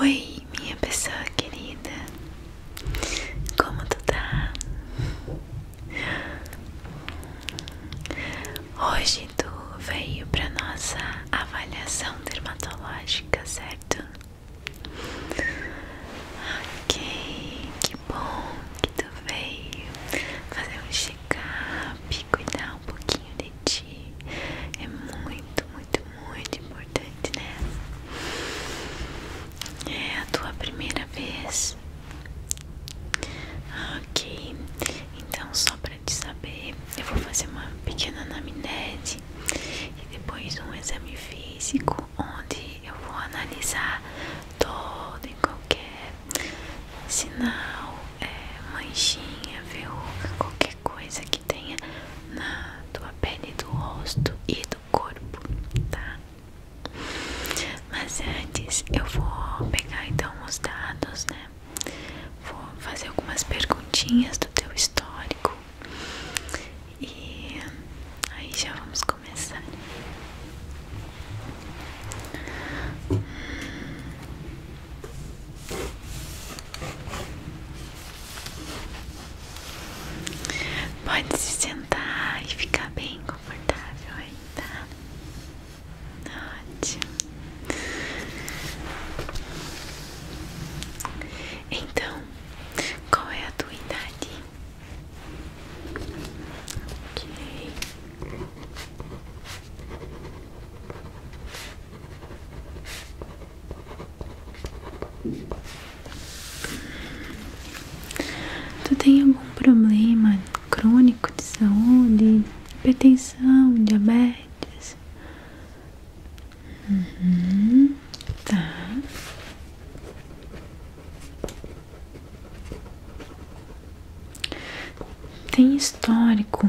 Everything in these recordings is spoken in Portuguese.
Oi, minha pessoa querida, como tu tá? Hoje tu veio para nossa avaliação dermatológica, certo? Ok, que bom que tu veio fazer um check-up, cuidar um pouquinho de ti é muito, muito, muito importante, né? É a tua primeira vez. Ok, então só para te saber, eu vou fazer uma pequena anamnese e depois um exame físico onde eu vou analisar todo e qualquer sinal, é, manchinha, verruga, qualquer coisa que tenha na tua pele, do rosto e do corpo, tá? Mas antes eu vou pegar então os dados, né? Vou fazer algumas perguntinhas do teu histórico e aí já vamos começar. Pode se sentar e ficar bem confortável aí, tá? Ótimo. Então, qual é a tua idade? Ok. Tu tem algum problema crônico de saúde? Hipertensão, diabetes? Uhum, tá. Tem histórico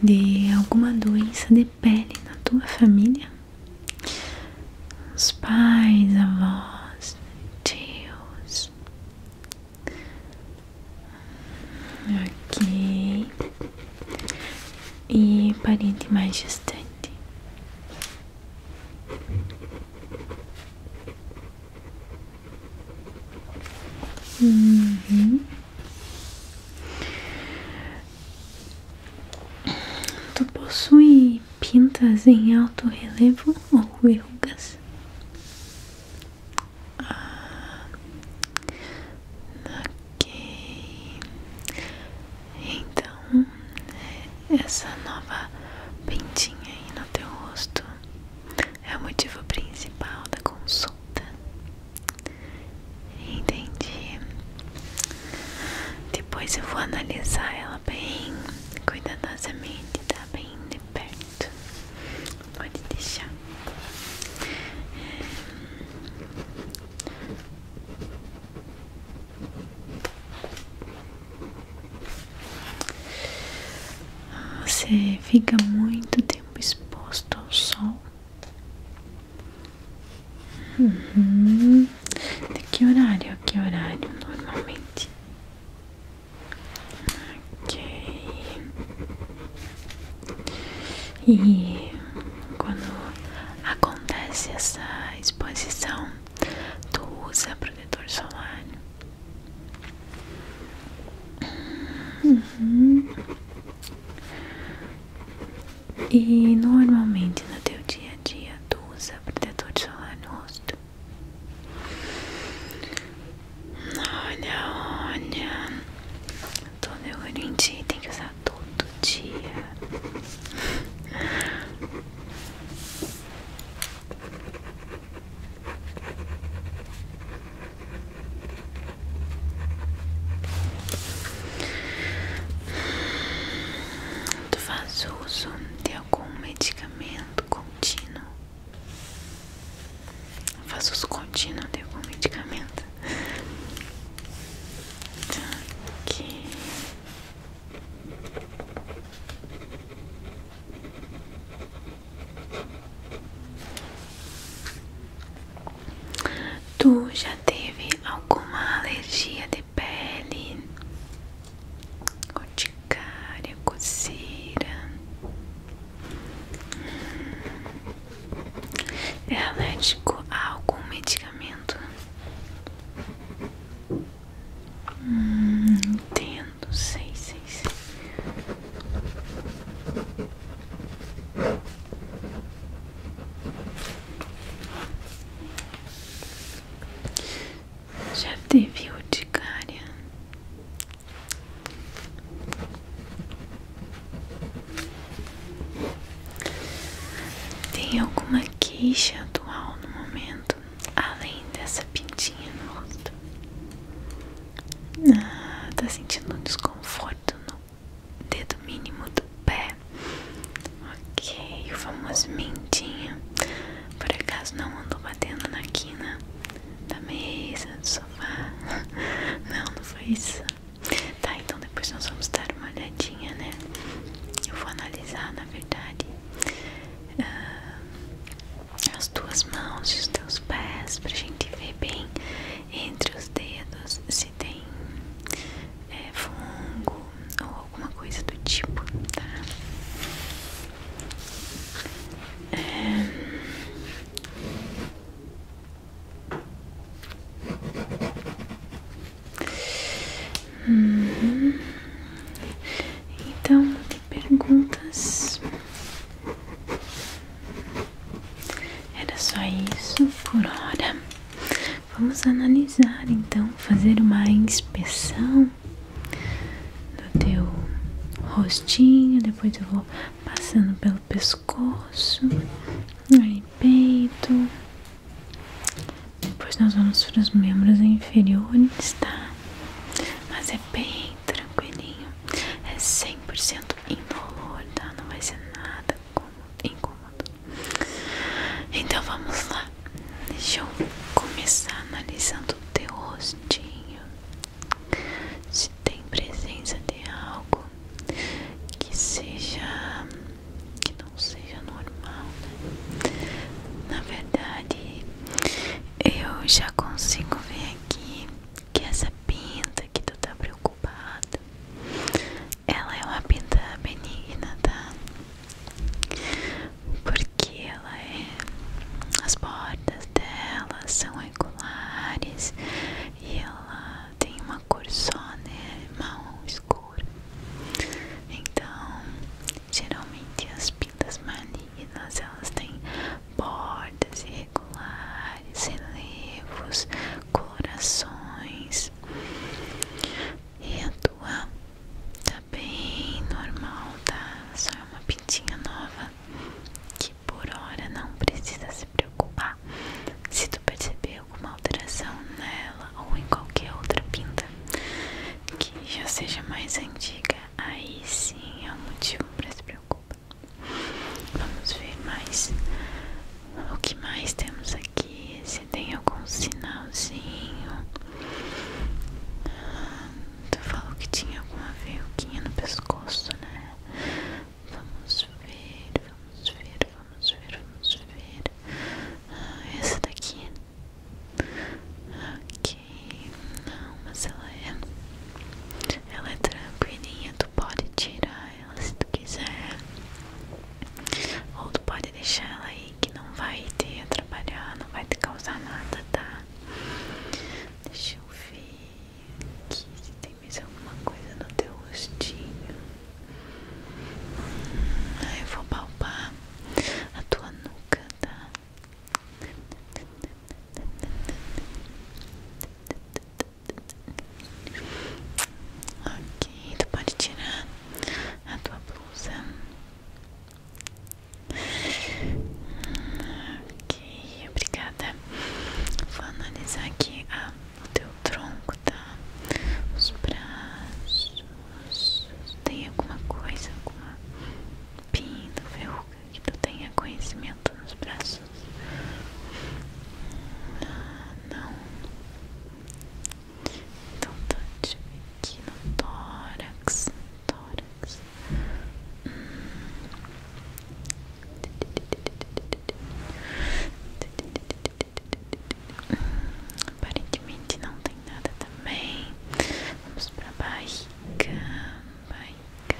de alguma doença de pele na tua família? Os pais, avós, tios. Ok. E parente mais distante. Uhum. Tu possui pintas em alto relevo ou verrugas? Ah, ok. Então, essa nova pintinha aí no teu rosto é o motivo principal da consulta. Entendi. Depois eu vou analisar ela bem cuidadosamente, tá? Bem de perto. Pode deixar. Você fica muito tempo exposto ao sol. Uhum. De que horário? Que horário normalmente? Ok. E quando acontece essa exposição, tu usa protetor solar? Uhum. E normalmente no teu dia a dia tu usa protetor solar no rosto. Olha, olha. Tô olhando em ti, tem que usar todo dia. Tu faz uso de algum medicamento contínuo? Eu faço uso contínuo de algum medicamento? Aqui. Tu já teve alguma alergia de pele? Urticária, coceira. Hum. É alérgico a algum medicamento? Hum, entendo, sei, sei, sei. Já teve urticária? Tem alguma queixa atual no momento, além dessa pintinha no rosto? Ah, tá sentindo desconforto no dedo mínimo do pé. Ok, o famoso mentinho. Por acaso não andou batendo na quina da mesa, do sofá? Não, não foi isso. Tá, então depois nós vamos dar uma olhadinha, né? Eu vou analisar, na verdade, ah, as tuas mãos e os teus pés pra gente ver bem entre os dedos tem é, fungo ou alguma coisa do tipo, tá? então Uhum. Então, perguntas. Era só isso por hora. Vamos analisar então, fazer uma inspeção do teu rostinho, depois eu vou passando pelo pescoço, aí peito. Depois nós vamos para os membros inferiores, tá? Mas é bem tranquilinho, é 100% incolor, tá? Não vai ser nada incômodo. Então vamos lá. Deixa eu começar analisando o teu rostinho. Se tem presença de algo que seja que não seja normal, né? Na verdade, eu já consigo ver aqui que essa pinta que tu tá preocupado. Ela é uma pinta benigna, tá? Porque ela é. As bordas dela são regulares e ela tem uma cor só, né? Marrom escura. Então, geralmente as pintas malignas elas têm bordas irregulares, relevos, corações e a tua tá bem normal, tá? Só é uma pintinha nova que por hora não precisa se preocupar se tu perceber alguma alteração nela ou em qualquer outra pinta que já seja mais antiga, aí sim é um motivo para se preocupar. Vamos ver mais o que mais temos aqui. Se tem algum sinalzinho. Ah, tu falou que tinha alguma verruguinha no pescoço, né? Vamos ver, vamos ver, vamos ver, vamos ver. Ah, essa daqui. Ok, não, mas ela é. Ela é tranquilinha, tu pode tirar se tu quiser. Ou tu pode deixar ela aí que não vai ter a trabalhar, não vai te causar nada, tá? Deixa eu ver aqui se tem mais alguma coisa no teu rostinho. Aí ah, eu vou palpar a tua nuca, tá? Ok, tu pode tirar a tua blusa. Ok, obrigada. Vou analisar aqui a, ah, o teu tronco, tá? Os braços. Tem alguma coisa, alguma pinta, verruga que tu tenha conhecimento nos braços? não. Então tá, deixa aqui no tórax, tórax. Hum. Aparentemente não tem nada também. Vamos pra barriga, barriga.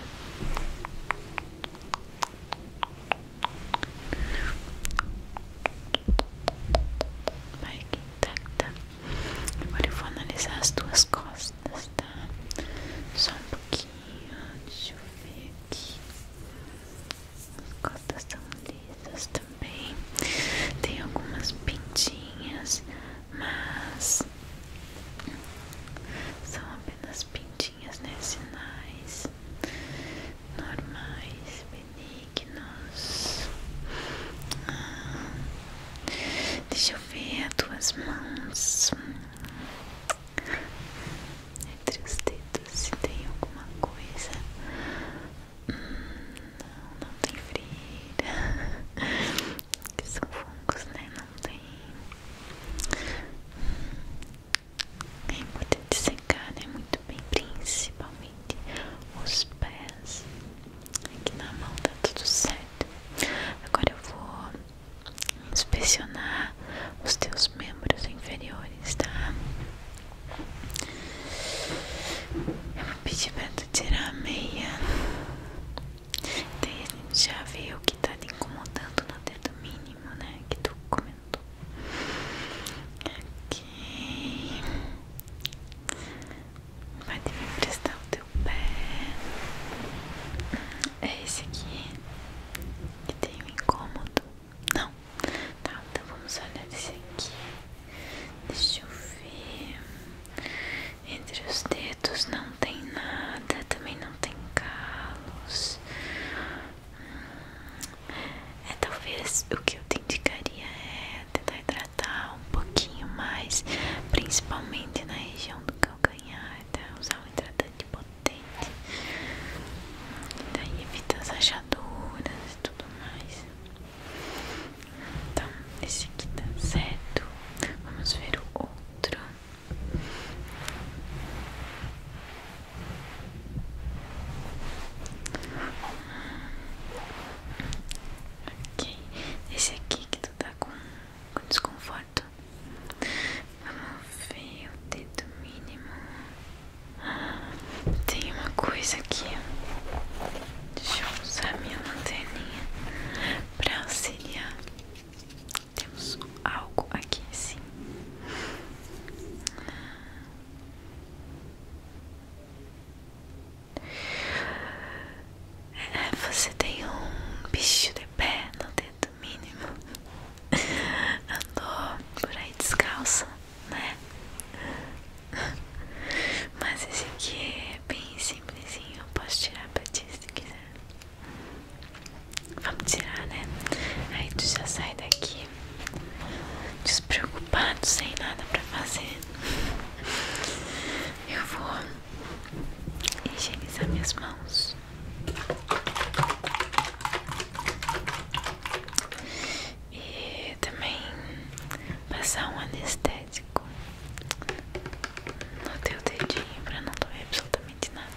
Vai aqui, tá, tá. Agora eu vou analisar as duas costas, tá? Só um pouquinho, deixa eu ver aqui. As costas estão lisas também. Tem algumas pintinhas, mas são apenas pintinhas setinhas, né? Sinais normais, benignos. Ah, deixa eu ver as tuas mãos. Entre os dedos, se tem alguma coisa. Hum, não, não tem frira. Que são fungos, né? Não tem. É importante secar, né? Muito bem, principalmente os pés. Aqui na mão tá tudo certo. Agora eu vou inspecionar os teus membros inferiores, tá? Eu vou pedir pra tu tirar a meia. Daí a gente já viu o que tá te incomodando no dedo mínimo, né? Que tu Aqui. Vai me que prestar o teu pé. É esse aqui que tem um incômodo. Não. Tá, então vamos olhar esse aqui. Deixa eu ver. Entre os dedos não tem nada, também não tem calos. É, talvez o que eu te indicaria é tentar hidratar um pouquinho mais, principalmente na região do calcanhar, tá? usar um hidratante potente, daí tá? evita as rachaduras e tudo mais. Então, esse aqui tá certo. Vamos ver o outro. Ok, esse aqui que tu tá com, com desconforto. Vamos ver o dedo mínimo. Tem uma coisa aqui. Deixa eu usar minha lanterna pra auxiliar. Temos algo aqui assim você tem um bicho de pé no dedo mínimo. Andou por aí descalça, né? Mas esse aqui é bem simplesinho. Eu posso tirar pra ti se quiser. Vamos tirar, né? Aí tu já sai daqui despreocupado, sem nada pra fazer. Eu vou higienizar minhas mãos. E também passar um anestésico no teu dedinho pra não doer absolutamente nada.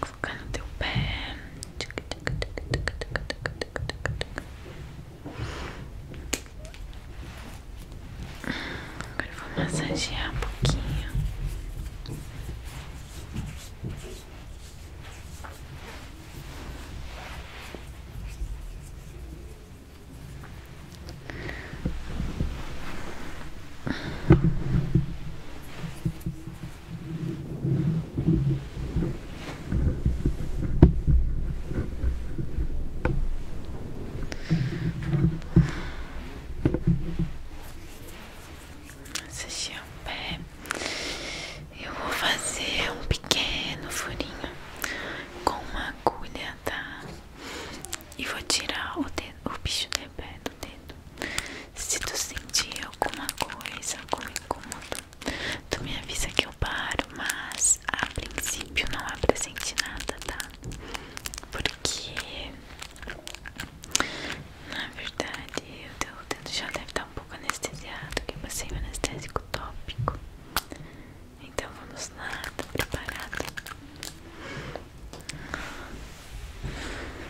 Colocar no teu pé. Agora eu vou massagear um pouquinho. Assistir um eu vou fazer um pequeno furinho com uma agulha, tá? E vou tirar o, dedo, o bicho de pé do dedo. Se tu sentir alguma coisa, algum incômodo, tu me avisa que eu paro, mas a princípio não apresente é nada, tá? Porque na verdade o teu dedo já deve estar tá um pouco anestesiado, que é eu passei o anestésico tópico. Então vamos lá, tá preparado?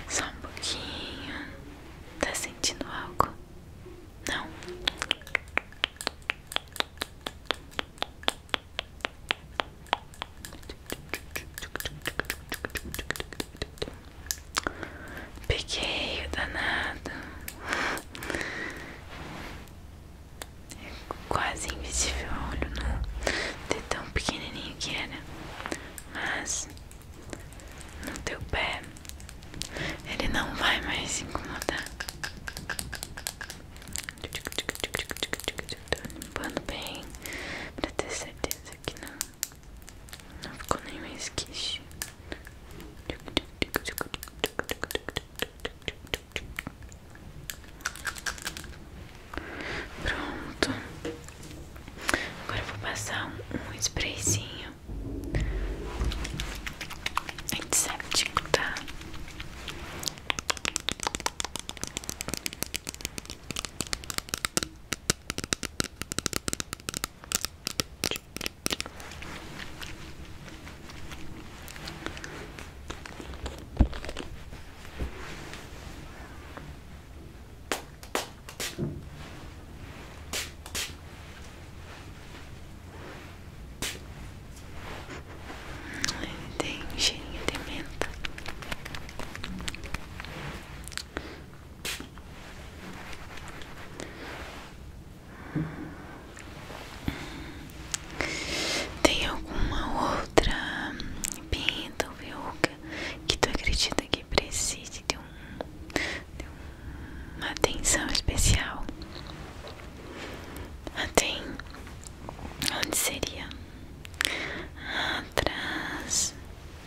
Só um pouquinho. Tá sentindo algo? Não? Peguei danado. É quase invisível o olho nu. Né? De tão pequenininho que era. Mas no teu pé ele não vai mais se incomodar. Tô limpando bem pra ter certeza que não, não ficou nenhum esquiche. Pronto. Agora vou passar um, um de antisséptico, tá? Tem cheirinho de menta. Tem alguma outra pinta verruga que tu acredita que precise de, uma atenção especial? tem. Onde seria? Atrás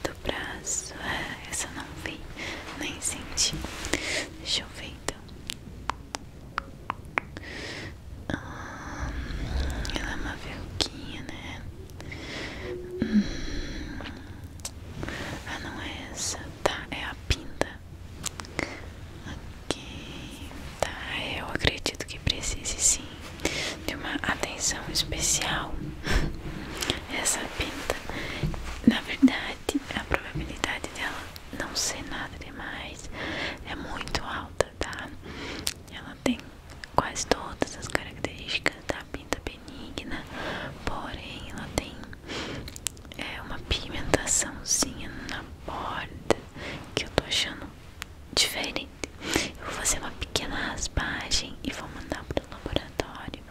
do braço. Ah, essa não vi, nem senti. Deixa eu ver perfeito. Ah, ela é uma velhinha, né? Hum. Ah, não é essa, tá? É a pinta. Ok, tá. Eu acredito que precise sim de uma atenção especial. Essa pinta, na verdade, a probabilidade dela não ser nada demais é muito alta, tá? Ela tem quase todas as características da pinta benigna, porém ela tem é, uma pigmentaçãozinha na borda que eu tô achando diferente. Eu vou fazer uma pequena raspagem e vou mandar pro laboratório diário,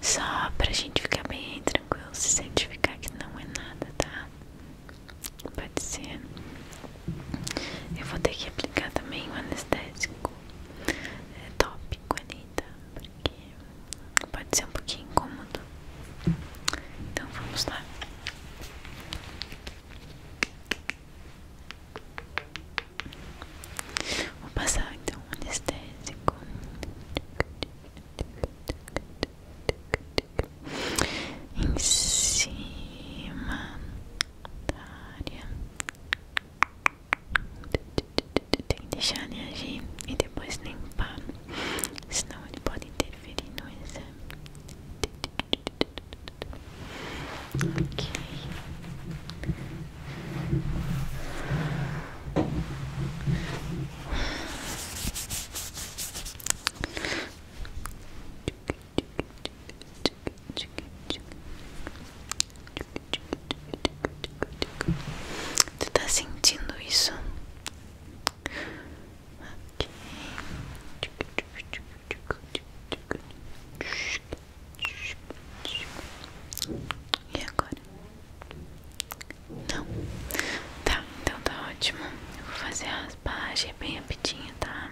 só pra gente ficar bem tranquilo, se certificar que não é nada, tá? Pode ser. Eu vou ter que aplicar também o anestésico é top tópico ali, tá? Porque pode ser um pouquinho incômodo. Então vamos lá. Vou passar então o anestésico em cima da área tem que deixar reagir e depois limpar senão ele pode interferir no exame ok Tu tá sentindo isso? Okay. E agora? Não? Tá, então tá ótimo. vou fazer a raspagem bem rapidinho, Tá,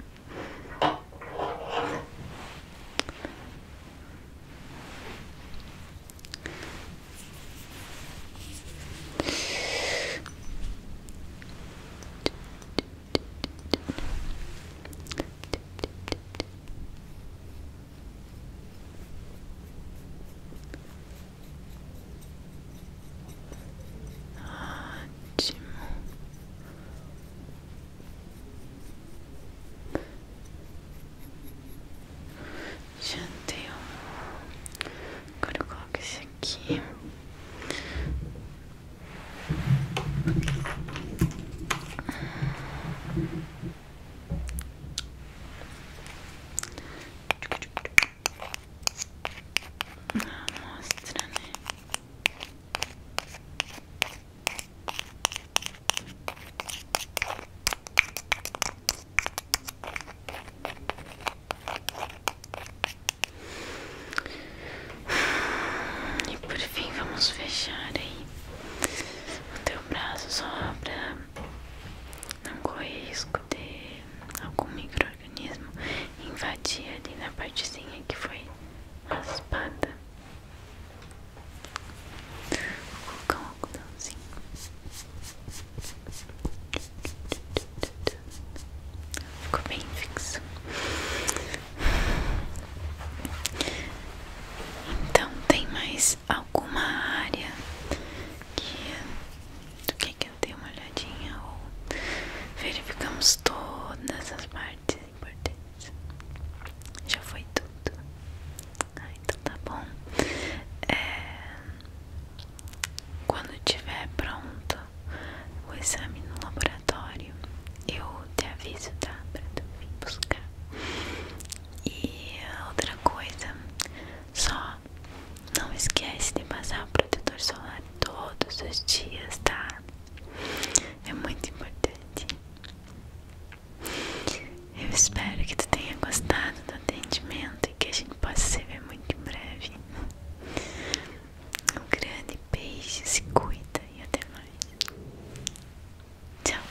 Ótimo. Já deu. Agora eu coloco esse aqui. Uma amostra, né? E por fim vamos fechar aí o teu braço só pra não corre risco de algum microorganismo invadir ali na partezinha que foi raspada. Vou colocar um algodãozinho. Ficou bem fixo. Então, tem mais alguma área que do que eu dei uma olhadinha ou verificamos todas as partes importantes. Já foi tudo. Ah, então tá bom. É, quando tiver pronto o exame no laboratório, eu te aviso, tá? Pra tu vir buscar. E outra coisa, só não esquece de passar o protetor solar todos os dias, tá? É muito importante. Eu espero que tu tenha gostado do atendimento e que a gente possa se ver muito em breve. Um grande beijo, se cuida e até mais. Tchau.